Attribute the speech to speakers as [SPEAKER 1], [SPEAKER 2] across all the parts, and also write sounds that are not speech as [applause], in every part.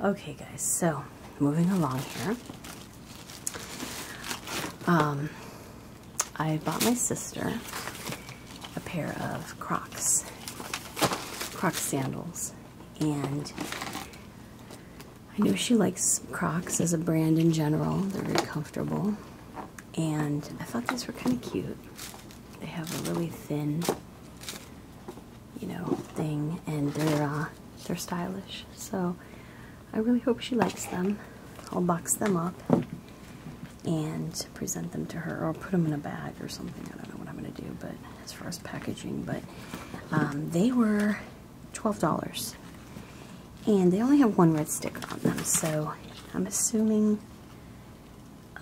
[SPEAKER 1] Okay, guys, so moving along here. Um, I bought my sister a pair of Crocs, Crocs sandals, and I know she likes Crocs as a brand in general. They're very comfortable, and I thought these were kind of cute. They have a really thin you know, thing, and they're uh, they're stylish. So I really hope she likes them. I'll box them up and present them to her, or put them in a bag or something. I don't know what I'm gonna do, but as far as packaging, but um, they were twelve dollars, and they only have one red sticker on them. So I'm assuming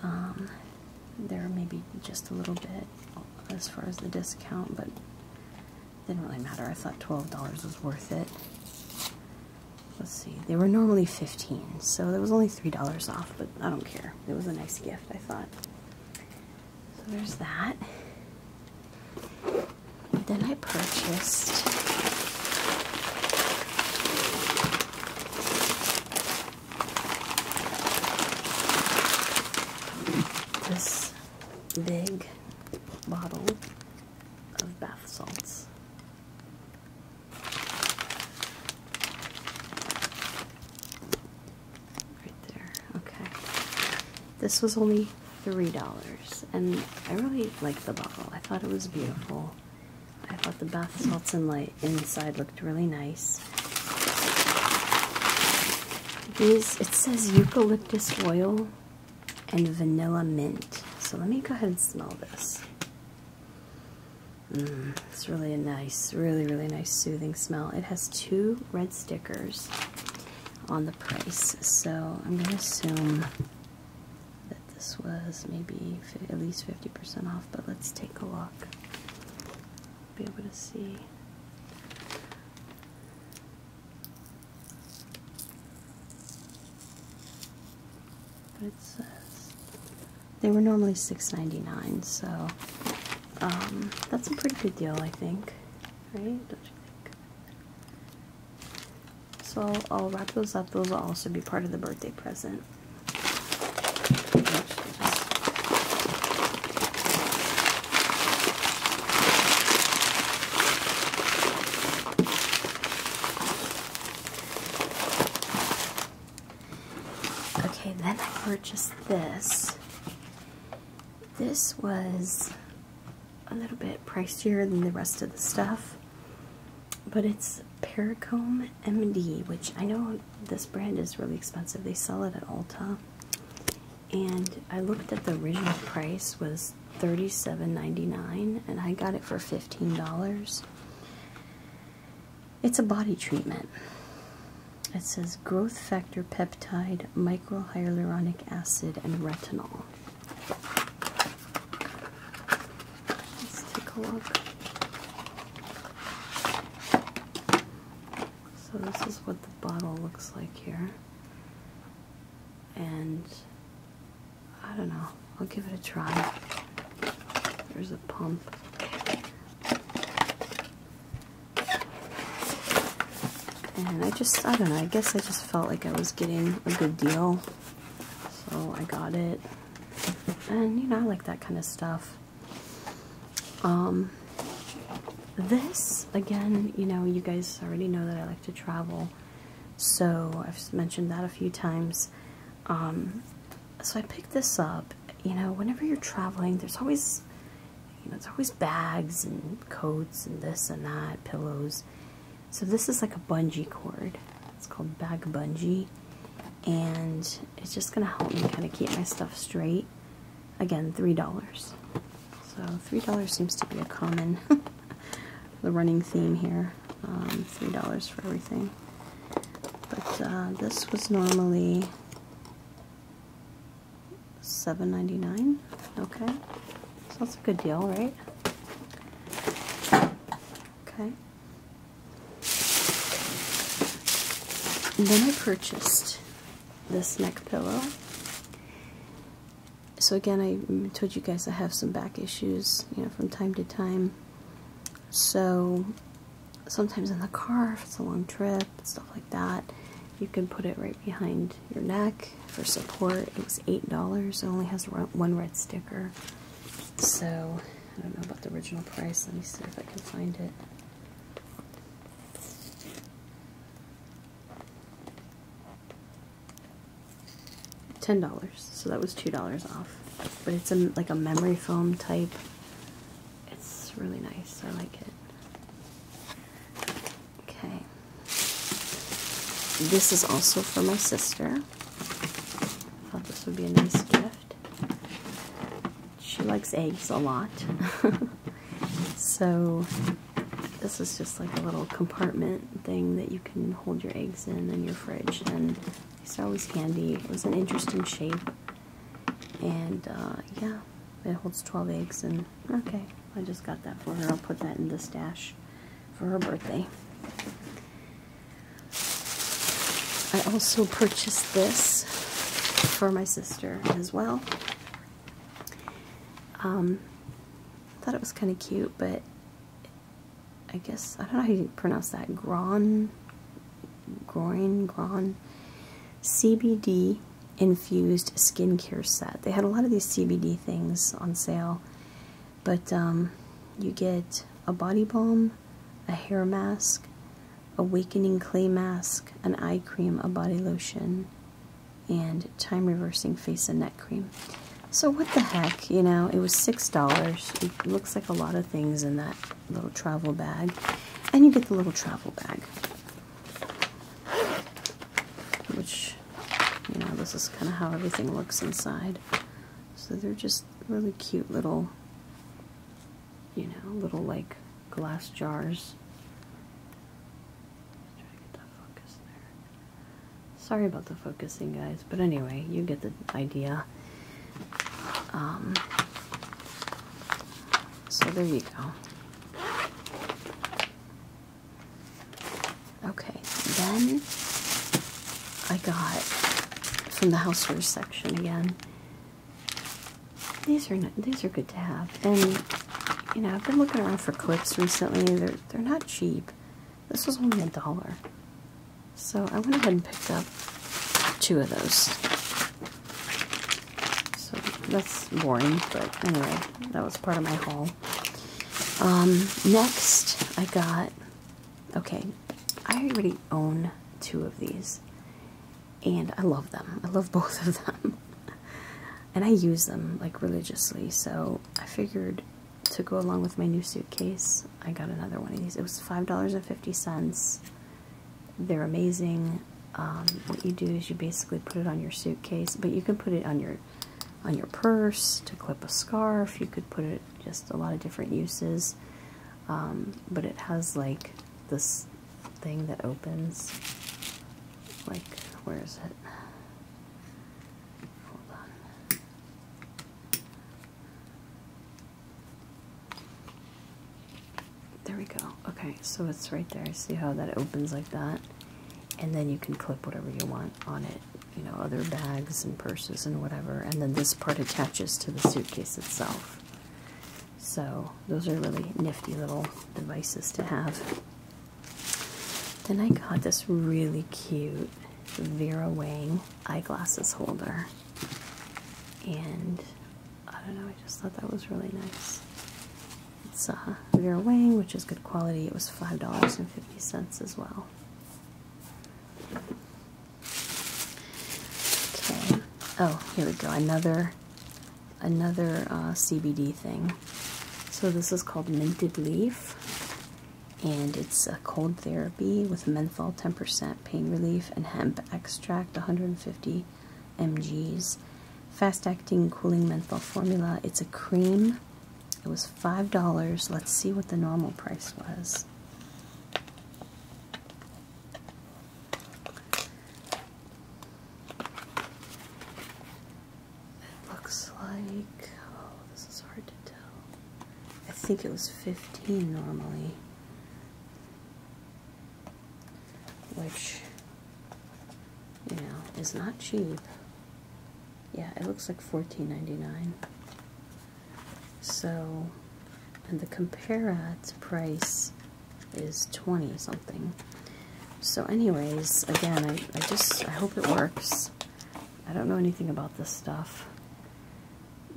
[SPEAKER 1] um, there may be just a little bit as far as the discount, but didn't really matter. I thought $12 was worth it. Let's see, they were normally 15 so there was only $3 off, but I don't care. It was a nice gift, I thought. So there's that. Then I purchased this big bottle of bath salts. Right there. Okay. This was only $3 and I really liked the bottle. I thought it was beautiful. I thought the bath salts and like inside looked really nice. it says eucalyptus oil and vanilla mint. So let me go ahead and smell this. Mm, it's really a nice, really, really nice soothing smell. It has two red stickers on the price, so I'm going to assume that this was maybe at least 50% off, but let's take a look be able to see. it says they were normally $6.99, so um, that's a pretty good deal, I think. Right? Don't you think? So I'll wrap those up. Those will also be part of the birthday present. Okay, then I purchased this. This was a little bit pricier than the rest of the stuff, but it's Paracomb MD, which I know this brand is really expensive. They sell it at Ulta, and I looked at the original price was thirty-seven ninety-nine, and I got it for fifteen dollars. It's a body treatment. It says growth factor peptide, micro hyaluronic acid, and retinol. Let's take a look. So this is what the bottle looks like here. And I don't know, I'll give it a try. There's a pump. And I just, I don't know, I guess I just felt like I was getting a good deal. So I got it. And you know, I like that kind of stuff. Um, this again, you know, you guys already know that I like to travel, so I've mentioned that a few times. Um, so I picked this up. You know, whenever you're traveling, there's always, you know, it's always bags and coats and this and that, pillows. So this is like a bungee cord. It's called bag bungee, and it's just going to help me kind of keep my stuff straight. Again, $3. So $3 seems to be a common, [laughs] the running theme here, um, $3 for everything. But uh, this was normally seven ninety nine. okay? So that's a good deal, right? Okay then I purchased this neck pillow. So again, I told you guys I have some back issues, you know, from time to time. So sometimes in the car, if it's a long trip, stuff like that, you can put it right behind your neck for support. It was $8. It only has one red sticker. So I don't know about the original price. Let me see if I can find it ten dollars so that was two dollars off but it's a, like a memory foam type it's really nice I like it okay this is also for my sister I thought this would be a nice gift she likes eggs a lot. [laughs] so this is just like a little compartment thing that you can hold your eggs in in your fridge and it's always handy. It was an interesting shape and uh, yeah it holds 12 eggs and okay I just got that for her. I'll put that in the stash for her birthday. I also purchased this for my sister as well. Um, I thought it was kind of cute, but I guess I don't know how you pronounce that. Gron, groin, gron, CBD infused skincare set. They had a lot of these CBD things on sale, but um, you get a body balm, a hair mask, Awakening Clay Mask, an eye cream, a body lotion, and Time Reversing Face and Neck Cream. So what the heck, you know, it was $6. It looks like a lot of things in that little travel bag. And you get the little travel bag. Which, you know, this is kind of how everything looks inside. So they're just really cute little you know, little like glass jars. Sorry about the focusing, guys, but anyway, you get the idea. Um, so there you go. Okay, then I got from the housewares section again. These are these are good to have, and you know I've been looking around for clips recently. They're they're not cheap. This was only a dollar, so I went ahead and picked up two of those. So that's boring, but anyway, that was part of my haul. Um, next, I got okay. I already own two of these, and I love them. I love [laughs] both of them. and I use them like religiously, so I figured to go along with my new suitcase, I got another one of these. It was $5.50. They're amazing. Um, what you do is you basically put it on your suitcase, but you can put it on your on your purse to clip a scarf. You could put it just a lot of different uses. Um, but it has like this thing that opens. Like, where is it? Hold on. There we go. Okay, so it's right there. See how that opens like that? And then you can clip whatever you want on it, you know, other bags and purses and whatever. And then this part attaches to the suitcase itself. So those are really nifty little devices to have. Then I got this really cute Vera Wang eyeglasses holder. And I don't know, I just thought that was really nice. It's uh, Vera Wang, which is good quality. It was $5.50 as well. Okay. Oh, here we go. Another another uh, CBD thing. So this is called Minted Leaf, and it's a cold therapy with menthol 10% pain relief and hemp extract 150 mgs. Fast-acting cooling menthol formula. It's a cream. It was $5. Let's see what the normal price was. It looks like, oh, this is hard to tell. I think it was 15 normally, which, you know, is not cheap. Yeah, it looks like 14.99. So, and the compare ads price is 20 something. So anyways, again, I, just, I hope it works. I don't know anything about this stuff.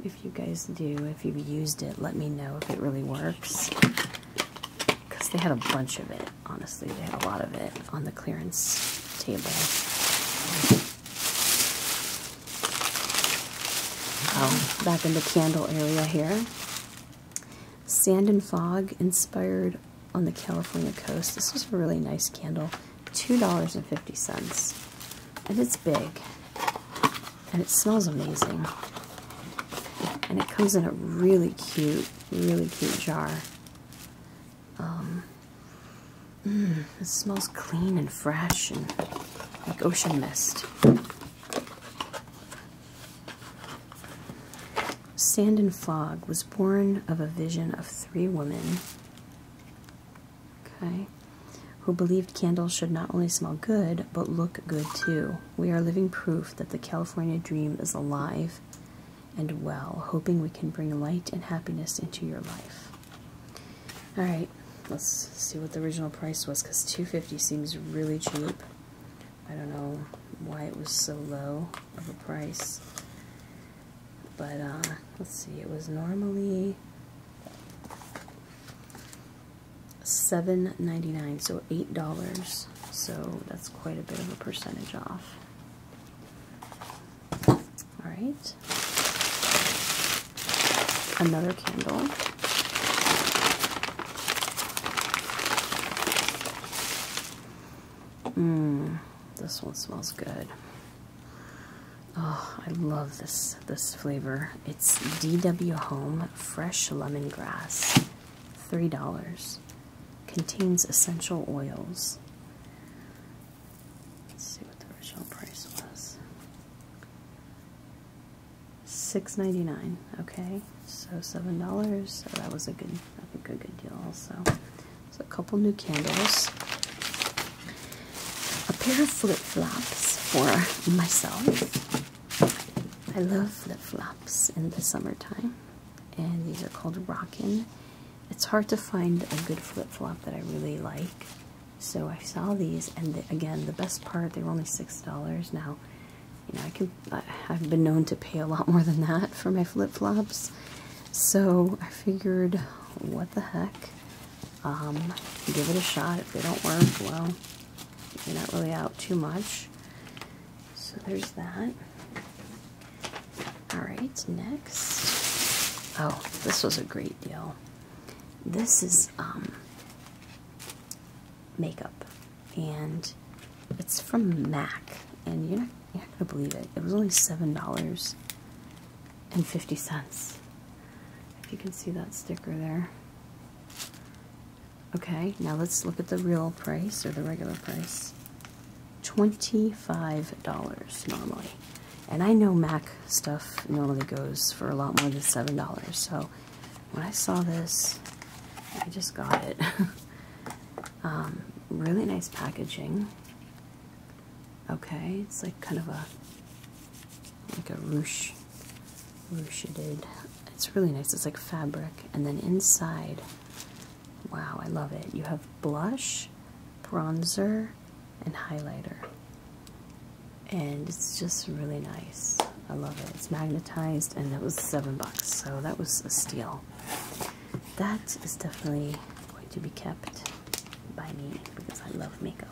[SPEAKER 1] If you guys do, if you've used it, let me know if it really works. Because they had a bunch of it, honestly. They had a lot of it on the clearance table. Um, back in the candle area here. Sand and Fog inspired on the California coast. This is a really nice candle. $2.50. And it's big. And it smells amazing. And it comes in a really cute, really cute jar. Um, mm, it smells clean and fresh and like ocean mist. Sand and Fog was born of a vision of three women okay, who believed candles should not only smell good, but look good too. We are living proof that the California dream is alive and well, hoping we can bring light and happiness into your life. All right, let's see what the original price was because 250 seems really cheap. I don't know why it was so low of a price. But uh, let's see, it was normally $7.99, so $8. So that's quite a bit of a percentage off. Alright. Another candle. Mmm, this one smells good. Oh, I love this this flavor. It's DW Home Fresh Lemongrass. $3. Contains essential oils. Let's see what the original price was. $6.99. Okay, so $7. So that was a good, a good deal also. So a couple new candles. A pair of flip-flops for myself. I love flip-flops in the summertime. And these are called Rockin'. It's hard to find a good flip-flop that I really like. So I saw these, and again, the best part, they were only $6. Now, you know, I can, I, have been known to pay a lot more than that for my flip flops. So I figured, what the heck? Um, give it a shot. If they don't work, well, you're not really out too much. So there's that. Alright, next. Oh, this was a great deal. This is um, makeup and it's from Mac, and you're not, you're gonna believe it. It was only seven dollars and fifty cents. If you can see that sticker there. Okay, now let's look at the real price or the regular price. $25 normally. And I know MAC stuff normally goes for a lot more than $7, so when I saw this, I just got it. [laughs] Um, really nice packaging. Okay, it's like kind of a like a ruche, rucheded. It's really nice. It's like fabric, and then inside, wow, I love it. You have blush, bronzer, and highlighter, and it's just really nice. I love it. It's magnetized and it was seven bucks, so that was a steal. That is definitely going to be kept by me because I love makeup.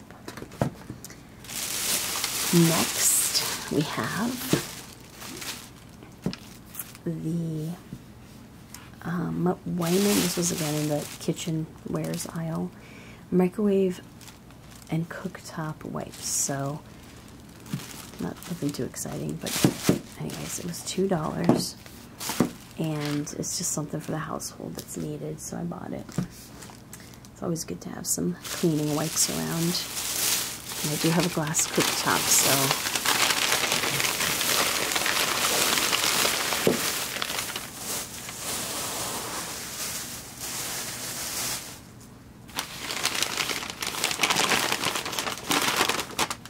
[SPEAKER 1] Next, we have the um, Wyman. This was again in the kitchen wares aisle. Microwave and cooktop wipes. So not nothing too exciting, but anyways, it was $2. And it's just something for the household that's needed, so I bought it. It's always good to have some cleaning wipes around. I do have a glass cooktop, so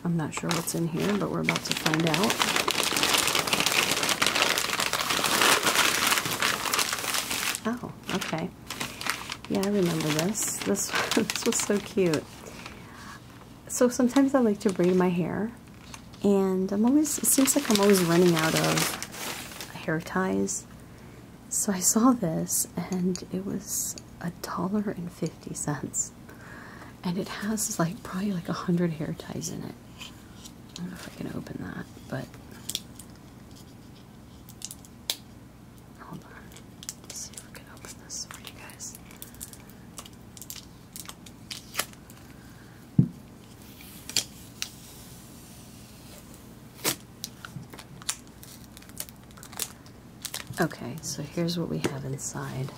[SPEAKER 1] I'm not sure what's in here, but we're about to find out. Oh, okay. Yeah, I remember this. This, [laughs] this was so cute. So sometimes I like to braid my hair, and I'm always, it seems like I'm always running out of hair ties. So I saw this and it was a dollar and fifty cents. And it has like probably like a hundred hair ties in it. I don't know if I can open that, but hold on. see if we can open this for you guys. Okay, so here's what we have inside.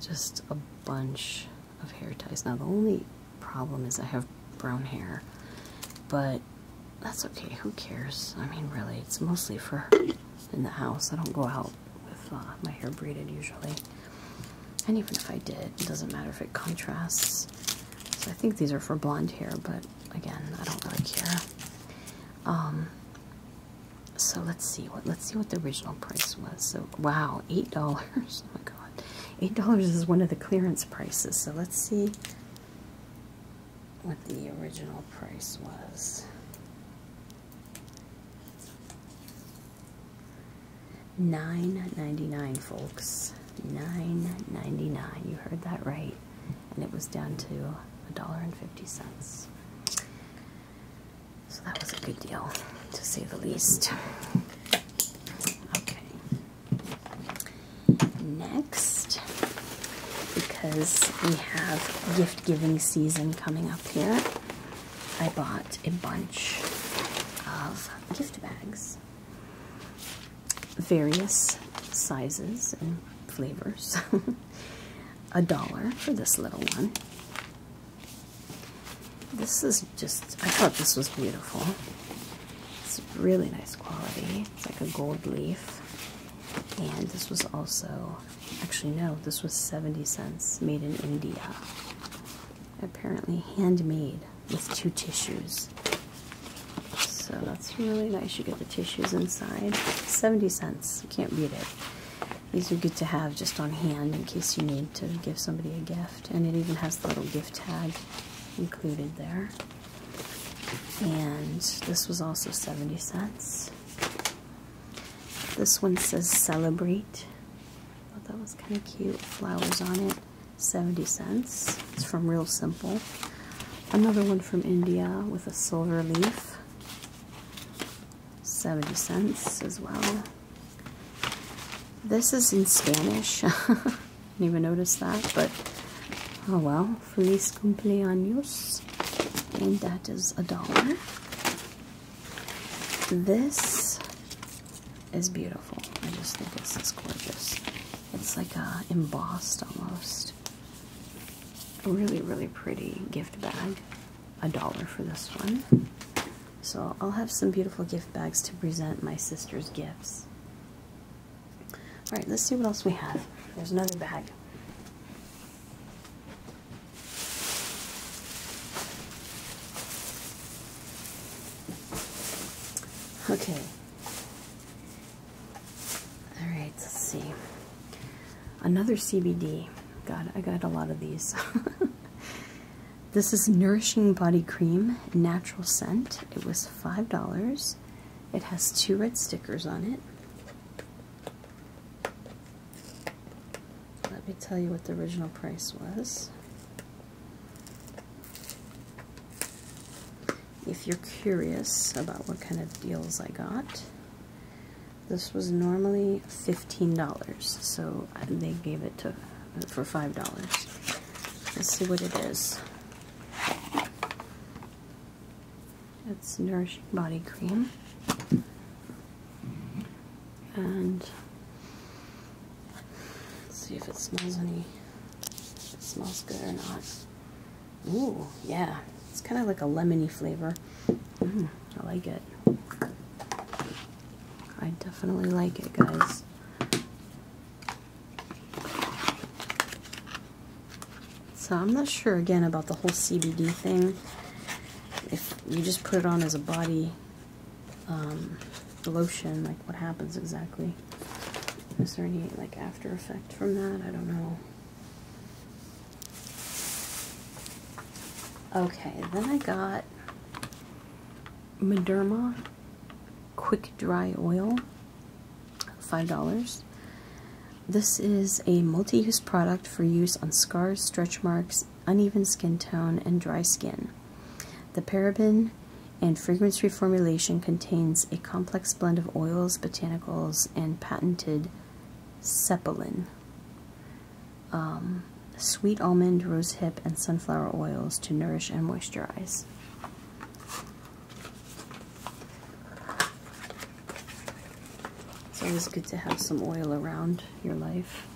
[SPEAKER 1] Just a bunch of hair ties. Now, the only problem is I have brown hair, but that's okay. Who cares? I mean, really, it's mostly for in the house. I don't go out with uh, my hair braided usually. And even if I did, it doesn't matter if it contrasts. So I think these are for blonde hair, but again, I don't really care. Um, so let's see what let's see what the original price was. So wow, eight dollars. [laughs] Oh my god, eight dollars is one of the clearance prices. So let's see what the original price was. Nine ninety nine, folks. Nine ninety nine. You heard that right and it was down to a dollar and fifty cents. So that was a good deal, to say the least. Okay. Next, because we have gift giving season coming up here, I bought a bunch of gift bags, various sizes and flavors. [laughs] a dollar for this little one. This is just, I thought this was beautiful. It's really nice quality. It's like a gold leaf. And this was also, actually, no, this was 70 cents made in India. Apparently handmade with two tissues. So that's really nice. You get the tissues inside. 70 cents. You can't beat it. These are good to have just on hand in case you need to give somebody a gift. And it even has the little gift tag included there. And this was also 70 cents. This one says celebrate. I thought that was kind of cute. Flowers on it. 70 cents. It's from Real Simple. Another one from India with a silver leaf. 70 cents as well. This is in Spanish. [laughs] Didn't even notice that, but oh well. Feliz cumpleaños. And that is a dollar. This is beautiful. I just think this is gorgeous. It's like uh, embossed almost. A Really, really pretty gift bag. A dollar for this one. So I'll have some beautiful gift bags to present my sister's gifts. Alright, let's see what else we have. There's another bag. Okay, all right, let's see. Another CBD. God, I got a lot of these. [laughs] this is Nourishing Body Cream, natural scent. It was $5. It has two red stickers on it. Let me tell you what the original price was if you're curious about what kind of deals I got. This was normally $15, so they gave it to for $5. Let's see what it is. It's Nourishing Body Cream. And see if it smells any, it smells good or not. Ooh, yeah. It's kind of like a lemony flavor. Mm, I like it. I definitely like it, guys. So I'm not sure, again, about the whole CBD thing. If you just put it on as a body um, lotion, like what happens exactly? Is there any like after effect from that? I don't know. Okay, then I got Mederma Quick Dry Oil, $5. This is a multi-use product for use on scars, stretch marks, uneven skin tone, and dry skin. The paraben and fragrance-free formulation contains a complex blend of oils, botanicals, and patented Sepalin. Um, sweet almond, rosehip, and sunflower oils to nourish and moisturize. It's always good to have some oil around your life.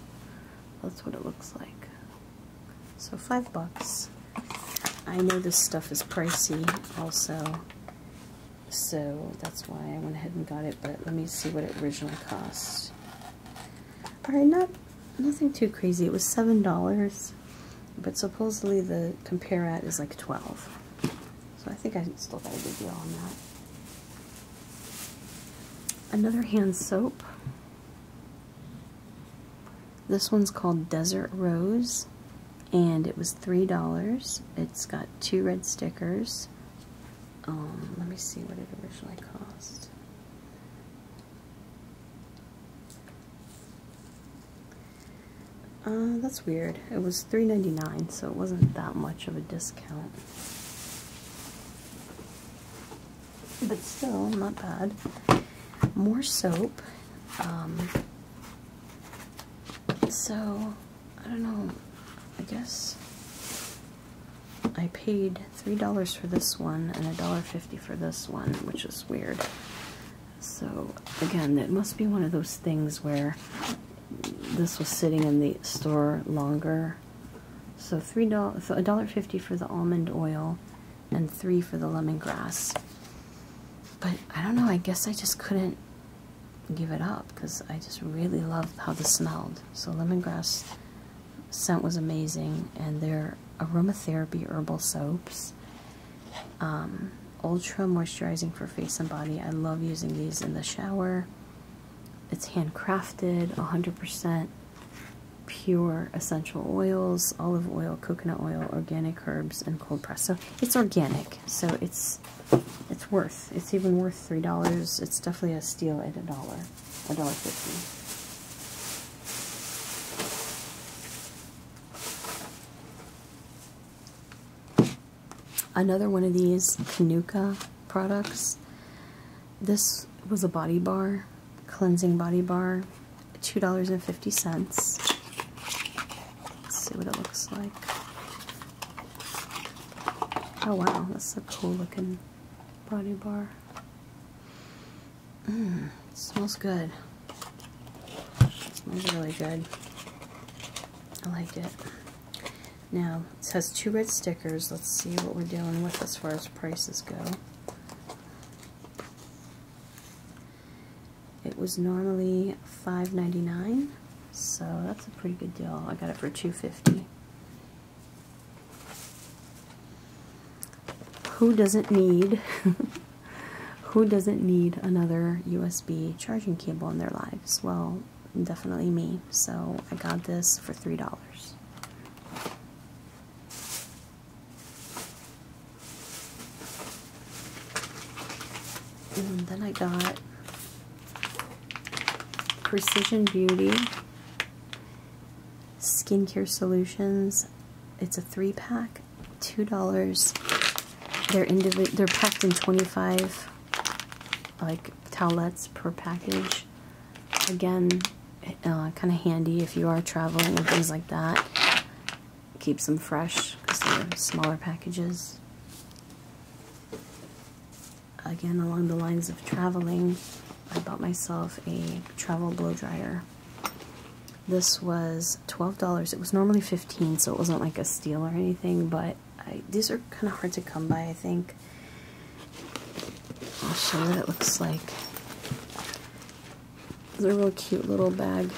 [SPEAKER 1] That's what it looks like. So five bucks. I know this stuff is pricey also. So that's why I went ahead and got it, but let me see what it originally cost. Alright, not nothing too crazy. It was seven dollars, but supposedly the compare at is like twelve. So I think I still got a good deal on that. Another hand soap. This one's called Desert Rose and it was three dollars it's got two red stickers um, let me see what it originally cost uh, that's weird it was three ninety nine, so it wasn't that much of a discount but still not bad more soap um, so I don't know. I guess I paid three dollars for this one and a dollar fifty for this one, which is weird. So again, it must be one of those things where this was sitting in the store longer. So three dollars, a dollar fifty for the almond oil, and three for the lemongrass. But I don't know. I guess I just couldn't give it up because I just really love how this smelled. So lemongrass scent was amazing, and their aromatherapy herbal soaps, um, ultra moisturizing for face and body. I love using these in the shower. It's handcrafted, 100% pure essential oils, olive oil, coconut oil, organic herbs, and cold press. So it's organic. So it's it's worth. It's even worth three dollars. It's definitely a steal at a dollar, a dollar fifty. Another one of these Canuka products. This was a body bar, cleansing body bar, two dollars and fifty cents. Let's see what it looks like. Oh wow, that's a cool looking body bar. Mmm, smells good. It smells really good. I like it. Now, it has two red stickers. Let's see what we're dealing with as far as prices go. It was normally $5.99 so that's a pretty good deal. I got it for 250 Who doesn't need [laughs] who doesn't need another USB charging cable in their lives? Well, definitely me. So I got this for three dollars. And then I got Precision Beauty, Skincare Solutions. It's a three pack, two dollars. They're indivi They're packed in twenty five, like towelettes per package. Again, uh, kind of handy if you are traveling and things like that. Keeps them fresh because they're smaller packages again along the lines of traveling, I bought myself a travel blow dryer. This was $12. It was normally 15 so it wasn't like a steal or anything, but these are kind of hard to come by, I think. I'll show you what it looks like. It's a real cute little bag.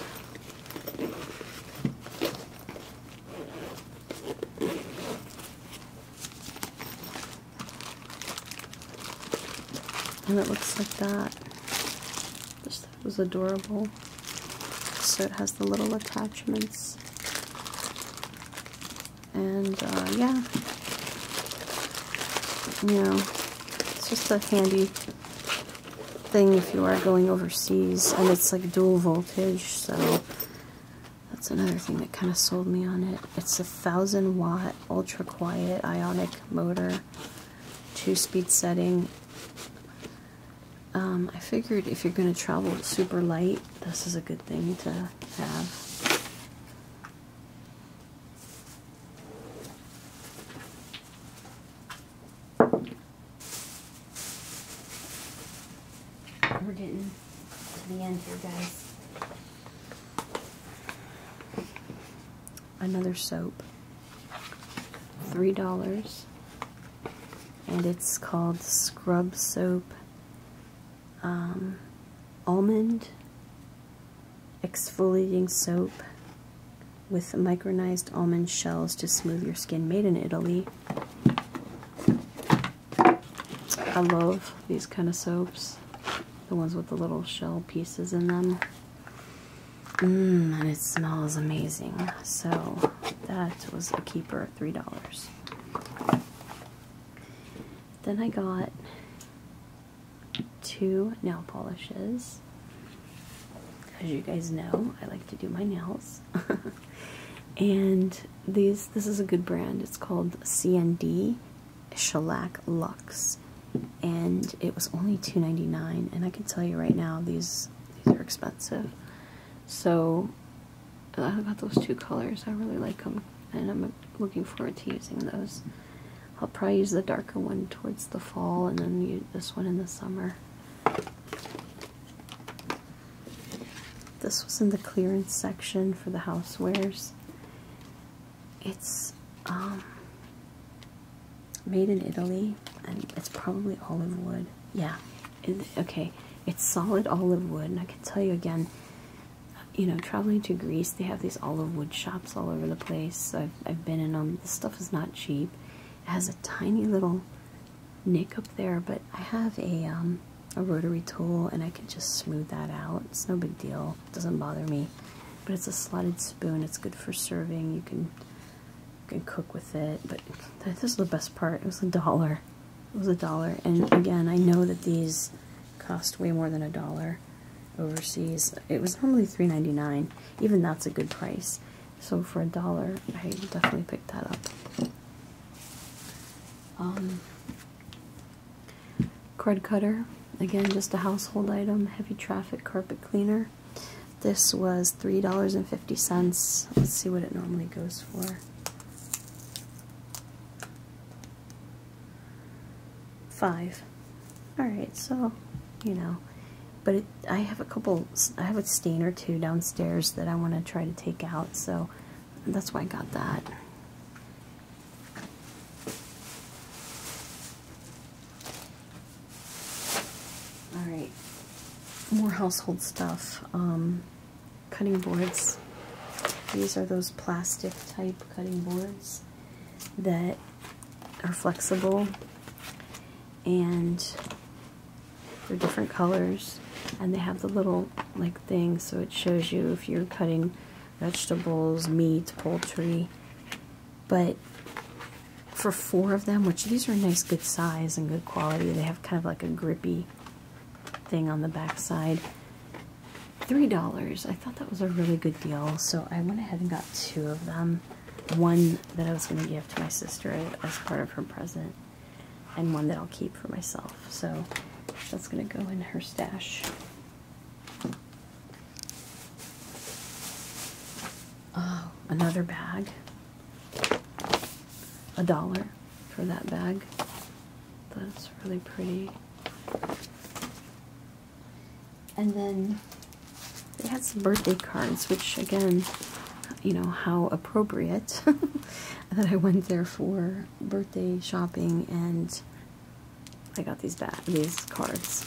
[SPEAKER 1] And it looks like that. Just that was adorable. So it has the little attachments. And uh, yeah, you know, it's just a handy thing if you are going overseas and it's like dual voltage so that's another thing that kind of sold me on it. It's a thousand watt ultra quiet ionic motor, two speed setting. Um, I figured if you're going to travel super light, this is a good thing to have. We're getting to the end here, guys. Another soap. $3. And it's called Scrub Soap um, Almond Exfoliating Soap with micronized almond shells to smooth your skin made in Italy. I love these kind of soaps. The ones with the little shell pieces in them. Mmm, and it smells amazing. So that was a keeper of $3. Then I got two nail polishes. As you guys know, I like to do my nails. [laughs] and these this is a good brand. It's called CND Shellac Luxe, and it was only $2.99. And I can tell you right now, these these are expensive. So I got those two colors. I really like them, and I'm looking forward to using those. I'll probably use the darker one towards the fall, and then this one in the summer. This was in the clearance section for the housewares. It's um, made in Italy and it's probably olive wood. Yeah, okay, it's solid olive wood. And I can tell you again, you know, traveling to Greece, they have these olive wood shops all over the place. I've, I've been in them. This stuff is not cheap. It has a tiny little nick up there, but I have a um, a rotary tool and I can just smooth that out. It's no big deal. doesn't bother me. But it's a slotted spoon. It's good for serving. You can you can cook with it. But [laughs] this is the best part. It was a dollar. It was a dollar. And again, I know that these cost way more than a dollar overseas. It was normally $3.99. Even that's a good price. So for a dollar, I definitely picked that up. Um, card cutter, again, just a household item, heavy traffic carpet cleaner. This was $3.50. Let's see what it normally goes for. Five. Alright, so, you know. But I have a couple, I have a stain or two downstairs that I want to try to take out, so that's why I got that. All right, more household stuff. Um, cutting boards. These are those plastic type cutting boards that are flexible and for different colors and they have the little like thing so it shows you if you're cutting vegetables, meat, poultry. But for four of them, which these are nice good size and good quality, they have kind of like a grippy thing on the back side. Three dollars. I thought that was a really good deal, so I went ahead and got two of them. One that I was going to give to my sister as part of her present and one that I'll keep for myself. So that's going to go in her stash. Oh, another bag. A dollar for that bag. That's really pretty. And then they had some birthday cards, which again, you know, how appropriate. [laughs] that I went there for birthday shopping, and I got these these cards.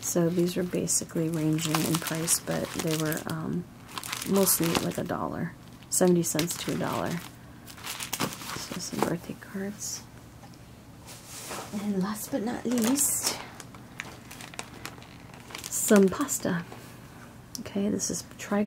[SPEAKER 1] So these are basically ranging in price, but they were um, mostly like a dollar, seventy cents to a dollar. So some birthday cards, and last but not least, some pasta. Okay, this is tri